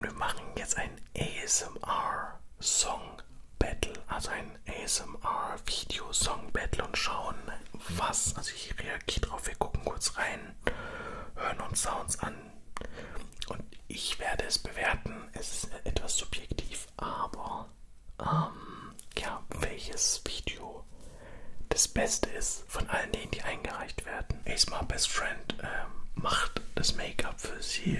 Wir machen jetzt ein ASMR-Song-Battle, also ein ASMR-Video-Song-Battle und schauen, was. Also, ich reagiere drauf. Wir gucken kurz rein, hören uns Sounds an und ich werde es bewerten. Es ist etwas subjektiv, aber ähm, ja, welches Video das Beste ist von allen denen, die eingereicht veröffentlicht werden. Ace Best Friend ähm, macht das Make-up für sie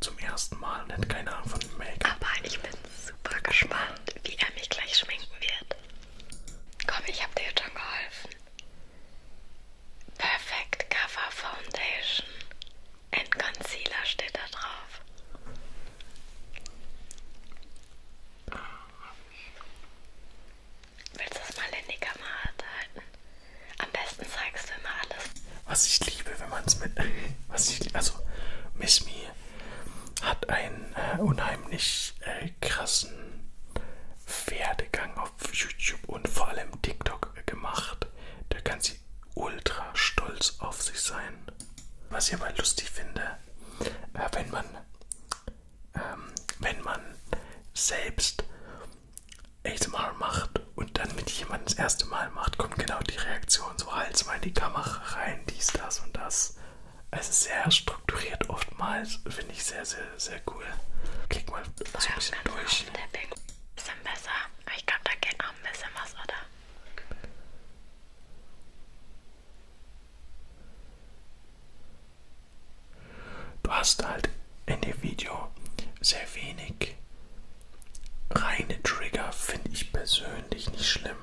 zum ersten Mal und hat keine Ahnung von Make-up. Aber ich bin super gespannt, wie er mich gleich schminken wird. Komm, ich habe dir jetzt schon geholfen. Perfect Cover Foundation and Concealer steht da drauf. Willst du das mal in die Kamera halten? Am besten zeigst du immer alles. Was ich liebe, wenn man es mit. Was ich, also, Miss Me hat einen äh, unheimlich äh, krassen Pferdegang auf YouTube und vor allem TikTok äh, gemacht. Da kann sie ultra stolz auf sich sein. Was ich aber lustig finde, äh, wenn man. Ähm, wenn man selbst ASMR macht und dann mit jemandem das erste Mal macht, kommt genau die Reaktion. So halt's mal in die Kamera rein, dies, das und das. Es also ist sehr strukturiert oftmals. Finde ich sehr, sehr, sehr cool. Klick mal so ein ja, bisschen durch. Ein bisschen besser. Aber ich glaube, da geht noch ein bisschen was, oder? Du hast halt in dem Video sehr wenig reine Trigger, finde ich persönlich nicht schlimm.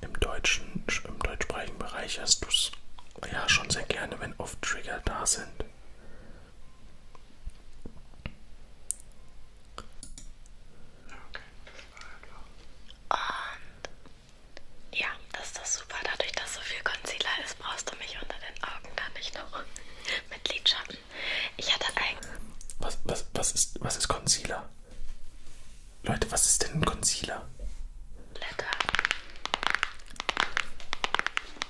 Im deutschen, im deutschsprachigen Bereich hast du es ja schon sehr gerne, wenn oft Trigger da sind. Okay, das war ja klar. Und ja, dass das super, dadurch, dass so viel Concealer ist, brauchst du mich unter den Augen da nicht noch mit Lidschatten. Ich hatte eigentlich. Was, was, was, ist, was ist Concealer? Leute, was ist denn ein Concealer? Blätter.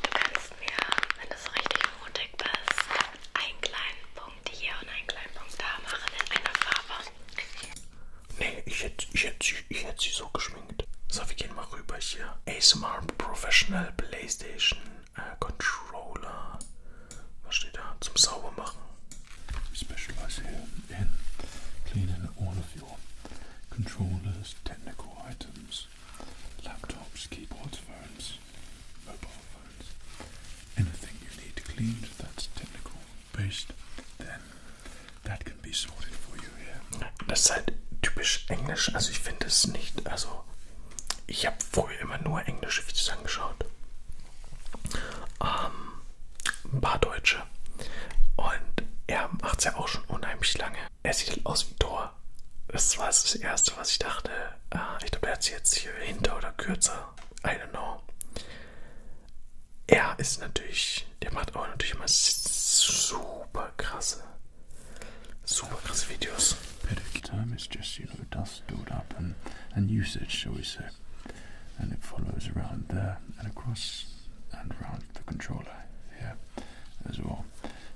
Du kannst mir, wenn du so richtig mutig bist, einen kleinen Punkt hier und einen kleinen Punkt da machen in einer Farbe. Nee, ich hätte, ich hätte, ich hätte sie so gesch schwingt. So, wir gehen mal rüber hier. ASMR Professional Playstation äh, Controller. Was steht da? Zum Saubermachen. We specialize here in cleaning all of your controllers, technical items, laptops, keyboards, phones, mobile phones. Anything you need cleaned that's technical based, then that can be sorted for you here. Das ist halt typisch Englisch, also ich finde es nicht, also ich habe früher immer nur englische Videos angeschaut. Ähm, ein paar Deutsche. Und er macht es ja auch schon unheimlich lange. Er sieht halt aus wie Thor. Das war das Erste, was ich dachte. Ah, ich glaube, er hat sie jetzt hier hinter oder kürzer. I don't know. Er ist natürlich, der macht auch natürlich immer super krasse Superclass videos. Pedic term is just, you know, dust stored up and, and usage, shall we say. And it follows around there and across and around the controller here as well.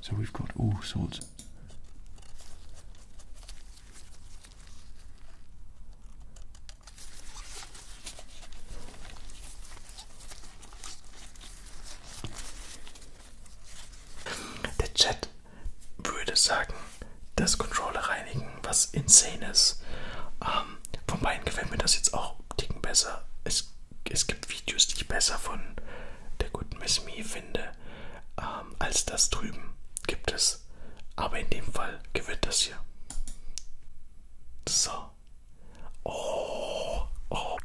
So we've got all sorts Der Chat würde sagen, das Controller reinigen, was insane ist. Ähm, von beiden gefällt mir das jetzt auch dicken besser. Es, es gibt Videos, die ich besser von der guten Miss Me finde, ähm, als das drüben gibt es. Aber in dem Fall gewinnt das hier. So. Oh, oh.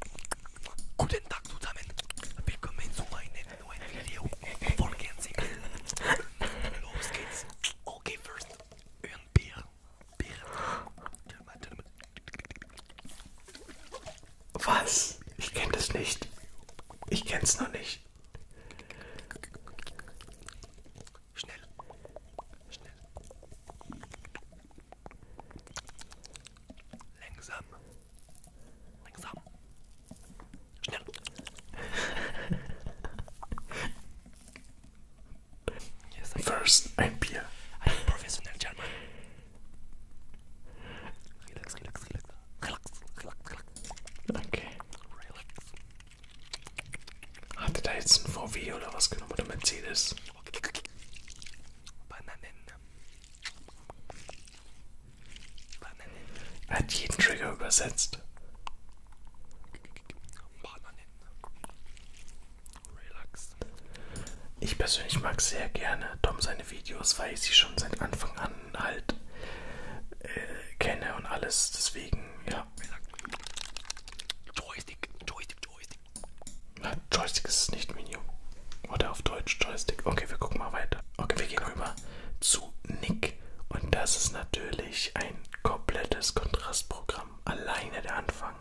Guten Tag zusammen. Willkommen zu meinem neuen Video. Folgen Sie mir. Los geht's. Okay, first. Ein Bier. Bier. Was? Ich kenne das nicht. Ich kenn's noch nicht. Schnell. Schnell. Langsam. Langsam. Schnell. yes, I First, ein Bier. Ein professional German. Relax, relax, relax. Relax, relax, relax. Okay. Relax. Hatte da jetzt ein VW oder was genommen oder Mercedes? Bananen. Bananen. Er hat jeden Trigger übersetzt. Bananen. Relax. Ich persönlich mag sehr gerne Tom seine Videos, weil ich sie schon seit Anfang an halt äh, kenne und alles. Deswegen, ja. Joystick, Joystick, Joystick, Nein, Joystick ist es nicht Menü. Oder auf Deutsch Joystick. Okay, wir gucken mal weiter. Okay, wir gehen rüber zu Nick. Und das ist natürlich ein komplettes Kontrastprogramm. Alleine der Anfang.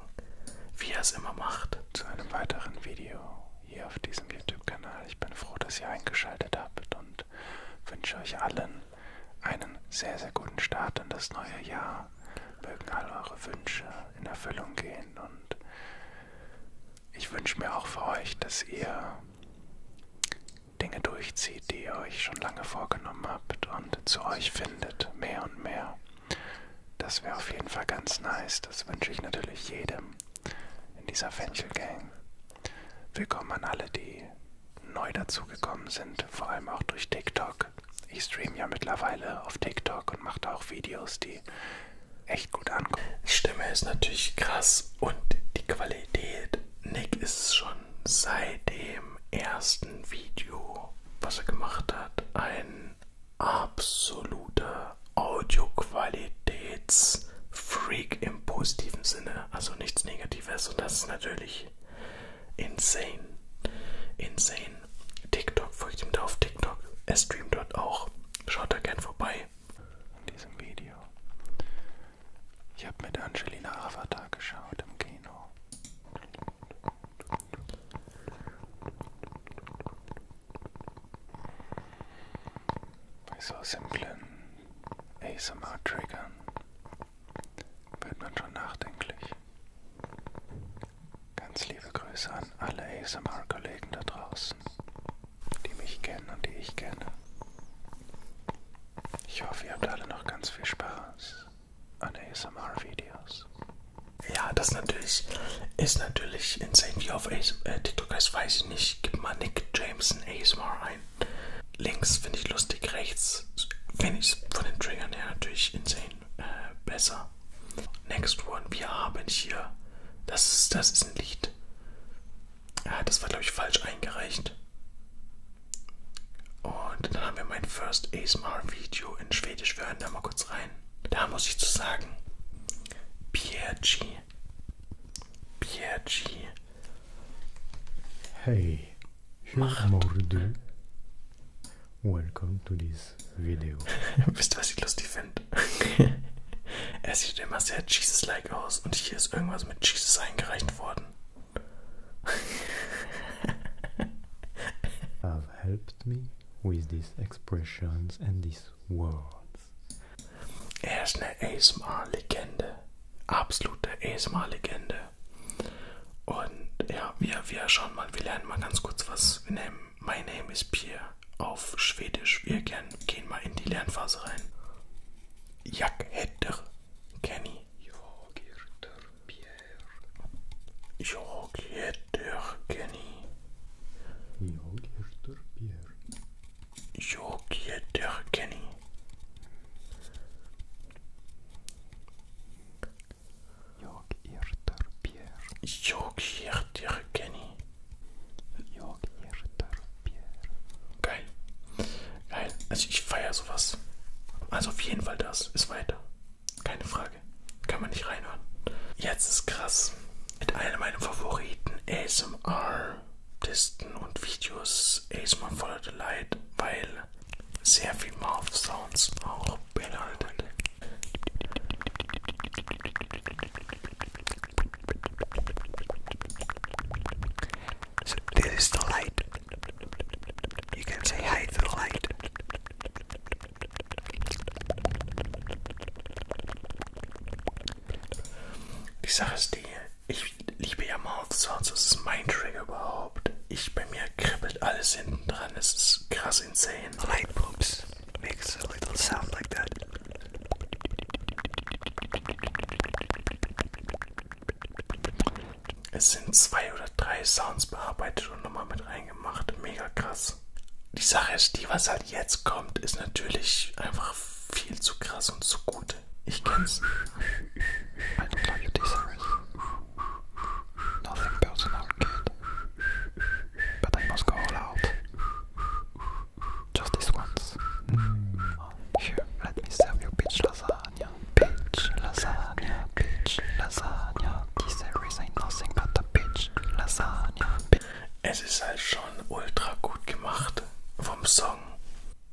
Wie er es immer macht. Zu einem weiteren Video hier auf diesem YouTube-Kanal. Ich bin froh, dass ihr eingeschaltet habt und wünsche euch allen einen sehr, sehr guten Start in das neue Jahr. Mögen all eure Wünsche, in Erfüllung gehen. Und ich wünsche mir auch für euch, dass ihr Dinge durchzieht, die ihr euch schon lange vorgenommen habt und zu euch findet, mehr und mehr. Das wäre auf jeden Fall ganz nice. Das wünsche ich natürlich jedem in dieser Fenchel Gang. Willkommen an alle, die neu dazugekommen sind, vor allem auch durch TikTok. TikTok. Ich streame ja mittlerweile auf TikTok und mache da auch Videos, die echt gut ankommen. Die Stimme ist natürlich krass und die Qualität. Nick ist schon seit dem ersten Video, was er gemacht hat, ein absoluter Audioqualitätsfreak im positiven Sinne. Also nichts Negatives und das ist natürlich insane. Insane den TikTok, folgt ihm da auf TikTok. Er streamt dort auch. Schaut da gern vorbei. In diesem Video. Ich habe mit Angelina Avatar geschaut im Kino. Bei so simplen ASMR-Triggern wird man schon nachdenklich. Ganz liebe Grüße an alle ASMR-Kollegen da draußen, die mich kennen und die ich kenne. Ich hoffe, ihr habt alle noch ganz viel Spaß an ASMR-Videos. Ja, das natürlich ist natürlich insane. Wie auf äh, TikTok heißt, weiß ich nicht. Gib mal Nick Jameson ASMR ein. Links finde ich lustig, rechts finde ich von den Triggern her natürlich insane äh, besser. Next one, wir haben hier, das ist, das ist ein Lied. Ja, ah, das war, glaube ich, falsch eingereicht. Und dann haben wir mein First ASMR-Video in Schwedisch. Wir hören da mal kurz rein. Da muss ich zu sagen, Piergi, Piergi. Hey, hur mår du? Welcome to this video. Wisst ihr, was ich lustig finde? er sieht immer sehr Jesus-like aus und hier ist irgendwas mit Jesus eingereicht worden. Have helped me with these expressions and these words. Er ist eine ASMR-Legende. Absolute ASMR-Legende. Und ja, wir, wir schauen mal, wir lernen mal ganz kurz was. Wir nehmen My name is Pierre auf Schwedisch. Wir gern, gehen mal in die Lernphase rein. Jak heter Kenny. Jag heter Pierre. Jag heter Kenny. Jag heter Pierre. Jag heter Kenny. Yok yırtır bir. Yok yırtır geni. Yok yırtır bir. Geil. Geil. Also ich feiere sowas. Also auf jeden Fall das. Ist weiter. Keine Frage. Kann man nicht reinhören. Jetzt ist krass. Mit einem meiner Favoriten ASMR-Tisten und Videos ASMR voller Delight, weil sehr viel Mouth Sounds auch beinhaltet. So this is the light. You can say hi to the light. Die Sache ist die, ich liebe ja Mouth Sounds, das ist mein Trigger überhaupt. Ich bei mir kribbelt alles hinten dran, es ist krass insane and the light poops makes a little sound like that. Es sind zwei oder drei Sounds bearbeitet und nochmal mit reingemacht. Mega krass. Die Sache ist, die, was halt jetzt kommt, ist natürlich einfach viel zu krass und zu gut. Ich kenn's. Alter, Leute, die Sache. Nothing personal, kid. But I must go all out. Just this once. Here, mm. let me serve you peach lasagna. Peach lasagna, peach lasagna. Diese Series ain't nothing but a peach lasagna. Es ist halt schon ultra gut gemacht vom Song.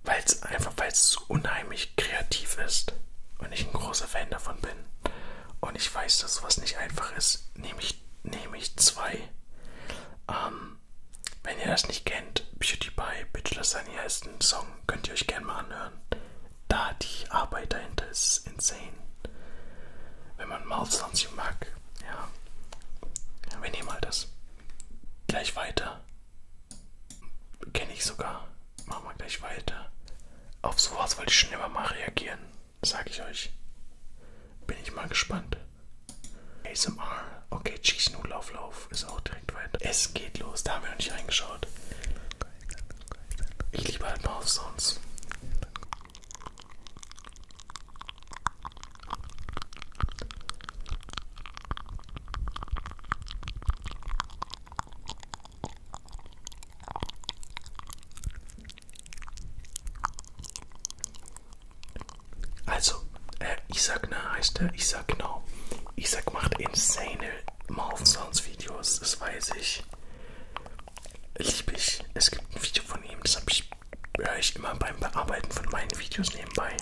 Weil es einfach, weil es so unheimlich kreativ ist und ich ein großer Fan davon bin. Und ich weiß, dass sowas nicht einfach ist. Nehme ich, nehm ich zwei. Ähm, wenn ihr das nicht kennt, Beauty by Bitch Lasagna ist ein Song, könnt ihr euch gerne mal anhören. Da die Arbeit dahinter ist insane. Wenn man Mouth Sounds mag, ja. ja. Wir nehmen mal halt das. Gleich weiter. Kenne ich sogar. Machen wir gleich weiter. Auf sowas wollte ich schon immer mal reagieren sage ich euch. Bin ich mal gespannt. ASMR. Okay, Cheese Lauf Lauf ist auch direkt weiter. Es geht los, da haben wir noch nicht reingeschaut. Ich liebe halt Mouth Sounds. Also, äh, Isaac, ne, heißt der? Isaac, genau. Isaac macht insane Mouth Sounds Videos, das weiß ich. Liebe ich. Es gibt ein Video von ihm, das ich, höre ich immer beim Bearbeiten von meinen Videos nebenbei.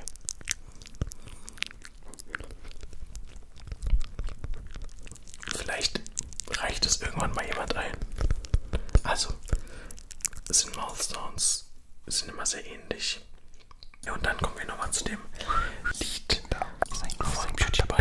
Vielleicht reicht es irgendwann mal jemand ein. Also, sind Mouth Sounds sind immer sehr ähnlich. Ja, und dann kommen wir nochmal zu dem Lied von Beauty Boy.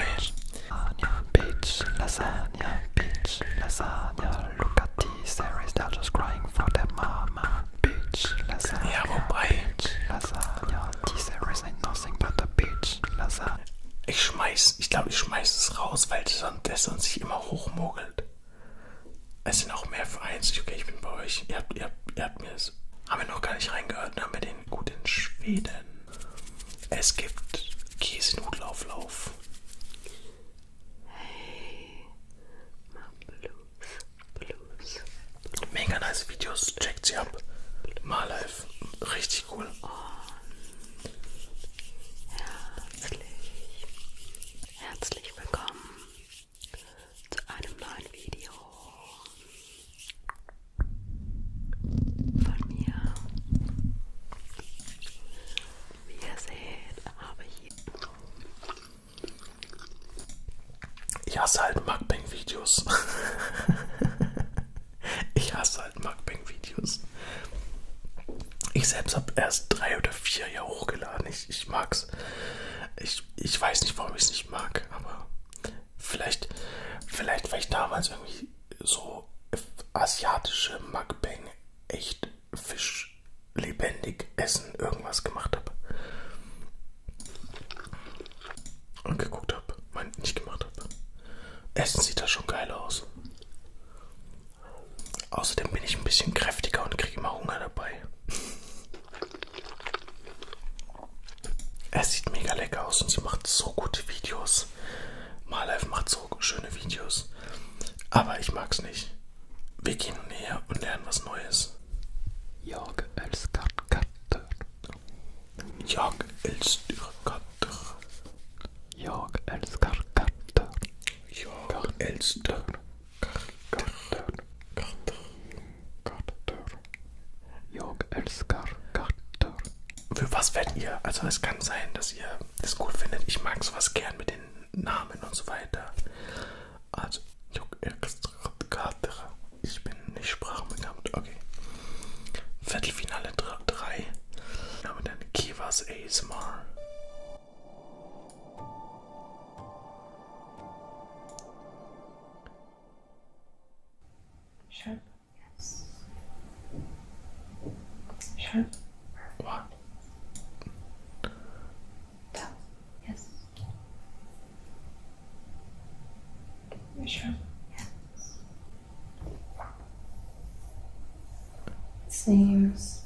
Lasagna, bitch, lasagna, bitch, lasagna. Look at these, there is they're just crying for their mama. Bitch, lasagna, ja, wobei. bitch, lasagna. These there is ain't nothing but a bitch, lasagna. Ich schmeiß es, ich glaube, ich schmeiße es raus, weil das sonst sich immer hochmogelt. Es sind auch mehr Vereins. Okay, ich bin bei euch. Ihr habt, ihr habt, ihr habt mir das. Haben wir noch gar nicht reingehört. Haben ne, wir den gut in Schweden. Es gibt Käsenhutlauflauf. Hey, mach Blues, Blues. Mega nice Videos. Checkt sie ab. Mal live. Richtig. Schul und herzlich, herzlich willkommen zu einem neuen Video von mir. Wie ihr seht, habe ich hier. Ich hasse halt Mukbang-Videos. Ich hasse halt Mukbang-Videos. Ich selbst habe erst drei oder vier ja hochgeladen. Ich, ich mag's. Ich, ich weiß nicht, warum ich es nicht mag, aber vielleicht, vielleicht, weil ich damals irgendwie so asiatische Mukbang echt Fisch lebendig essen irgendwas gemacht habe angeguckt habe, mein, nicht gemacht habe. Essen sieht da schon geil aus. Außerdem bin ich ein bisschen kräftiger und kriege immer Hunger dabei. Es sieht mega lecker aus und sie macht so gute Videos. Malef macht so schöne Videos. Aber ich mag's nicht. Wir gehen näher und lernen was Neues. Jag älskar katter. Jag älskar katter. Jag älskar katter. Jag älskar katter. Katter. Katter. Jag älskar katter. Für was werdet ihr? Also es kann sein, dass ihr das cool findet. Ich mag sowas gern mit den Namen und so weiter. Also, ich bin nicht sprachbegabt. Okay. Viertelfinale 3. Aber dann Kivas ASMR. Sharp. Yes. Sharp. What? Down. Yes. Sharp. Yes. Seems.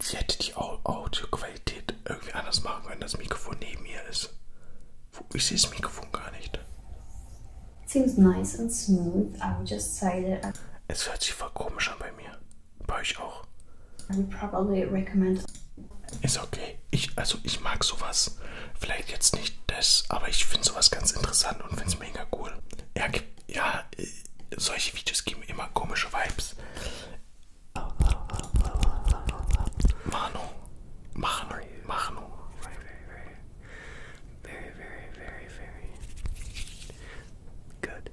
Sie hätte die Audioqualität irgendwie anders machen können, das Mikrofon neben mir ist. Ich sehe das Mikrofon gar nicht. It seems nice and smooth. I would just say that. Es hört sich voll komisch an bei mir. Bei euch auch. I would probably recommend. Ist okay ich, also ich mag sowas. Vielleicht jetzt nicht das, aber ich finde sowas ganz interessant und finde es mega cool. Ja, ja, äh, solche Videos geben immer komische Vibes. Manu, Manu, Manu. Very, very, very, very, very, very good.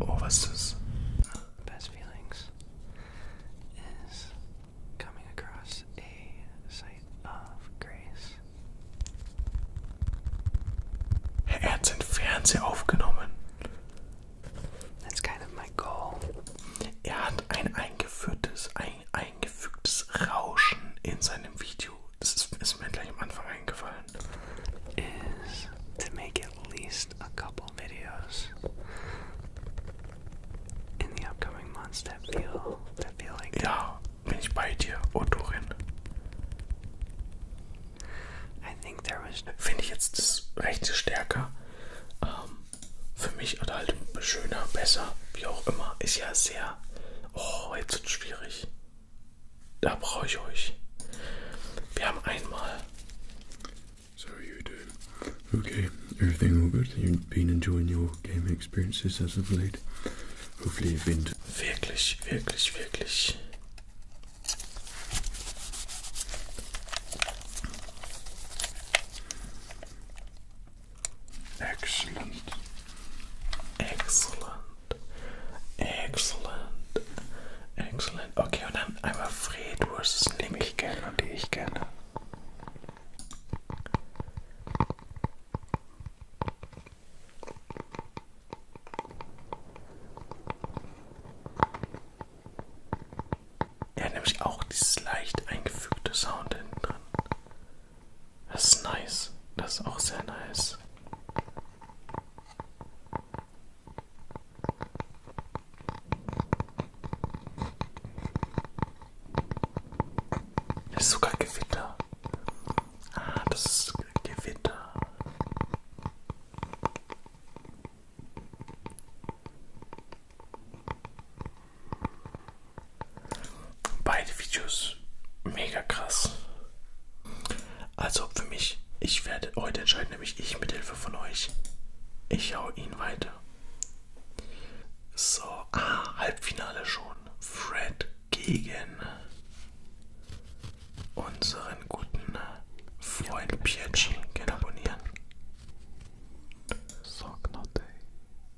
Oh, was ist das? Uh, best feelings is coming across a site of grace. Er hat den Fernseher aufgenommen. That's kind of my goal. Er hat ein eingeführtes, ein eingefügtes Rauschen in seinem Video this is, ist mir gleich am Anfang eingefallen, is to make at least a couple videos in the upcoming months that feel, that feel like that. Ja, bin ich bei dir, Autorin. Oh I think there was... Finde ich jetzt das Rechte stärker. Um, ähm, für mich oder halt schöner, besser, wie auch immer. Ist ja sehr... Oh, jetzt wird schwierig. Da brauche ich euch. Wir haben einmal. So you do. Okay, everything all good. You've been enjoying your gaming experiences as of late. Hopefully you've been. Wirklich, wirklich, wirklich. Excellent. Excellent. Excellent. Excellent. Okay, und dann einmal Fred versus Nick. Die mich gerne und die ich gerne. Ja, nämlich auch dieses leicht eingefügte Sound hinten drin. Das ist nice. Das ist auch sehr nice. Das ist sogar Gewitter. Ah, das ist Gewitter. Beide Videos mega krass. Also für mich, ich werde heute entscheiden, nämlich ich mit Hilfe von euch. Ich hau ihn weiter. So, ah, Halbfinale schon. Fred gegen unseren guten Freund Pierci. Gerne abonnieren. So,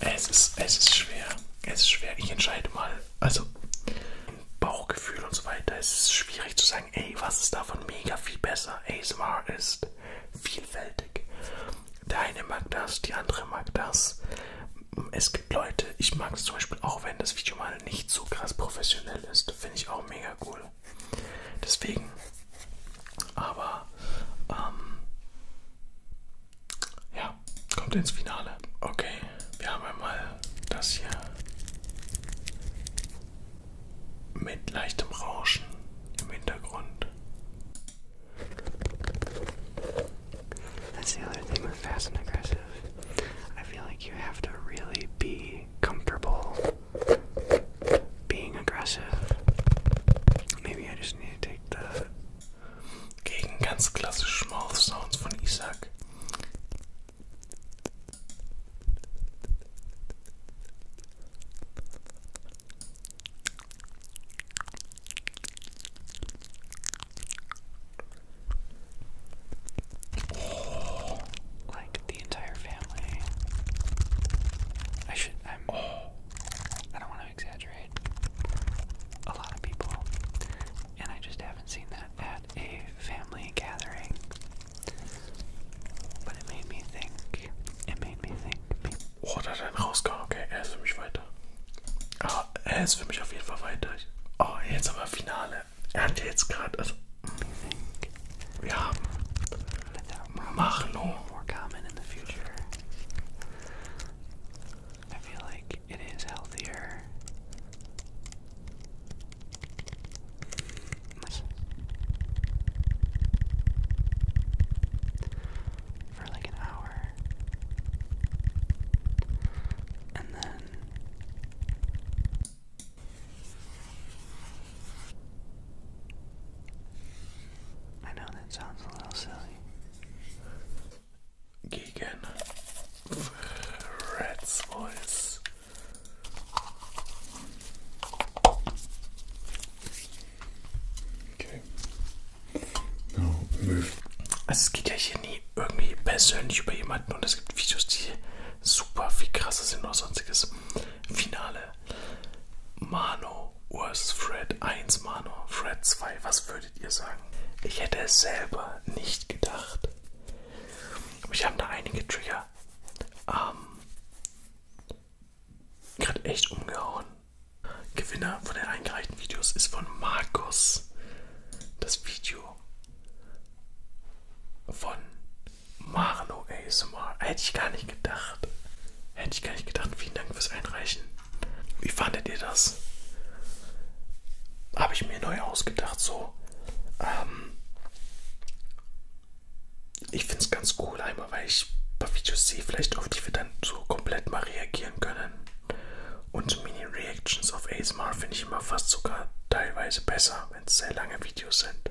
Es ist, es ist schwer. Es ist schwer. Ich entscheide mal. Also, Bauchgefühl und so weiter. Es ist schwierig zu sagen, ey, was ist davon mega viel besser? ASMR ist vielfältig. Der eine mag das, die andere mag das. Es gibt Leute, ich mag es zum Beispiel auch, wenn das Video mal nicht so krass professionell ist. Finde ich auch mega cool. Deswegen. Aber ähm, ja, kommt ins Finale. Okay, wir haben einmal das hier mit leichtem Rauschen im Hintergrund. That's the other thing with fast and aggressive. I feel like you have to really be comfortable being aggressive. Maybe I just need to take the. Gegen ganz klassische Mouth Sounds von Isaac. Oh the entire family. I should. I'm. Oh. I don't want to exaggerate. A lot of people, and I just haven't seen that at a family gathering. But it made me think. It made me think. Oh, da hat einen rausgehauen. Okay, er ist für mich weiter. Ah, er ist für mich auf jeden Fall weiter. Oh, ah, jetzt aber Finale. Er hat jetzt gerade, we have More common in the future. I feel like it is healthier. For like an hour. And then I know that sounds a little silly. Gegen Red's Voice. Okay. No, move. Also es geht ja hier nie irgendwie persönlich über jemanden und es gibt Videos, die super viel krasser sind oder sonstiges. Finale. Mano vs. Fred 1, Mano, Fred 2. Was würdet ihr sagen? Ich hätte es selber nicht gedacht. Ich habe da einige Trigger ähm, gerade echt umgehauen. Gewinner von den eingereichten Videos ist von Markus. Das Video von Marlo ASMR. Hätte ich gar nicht gedacht. Hätte ich gar nicht gedacht. Vielen Dank fürs Einreichen. Wie fandet ihr das? Habe ich mir neu ausgedacht, so. Ähm ich finde es ganz cool, einmal, weil ich ein paar Videos sehe, vielleicht auf die wir dann so komplett mal reagieren können. Und Mini-Reactions auf ASMR finde ich immer fast sogar teilweise besser, wenn es sehr lange Videos sind.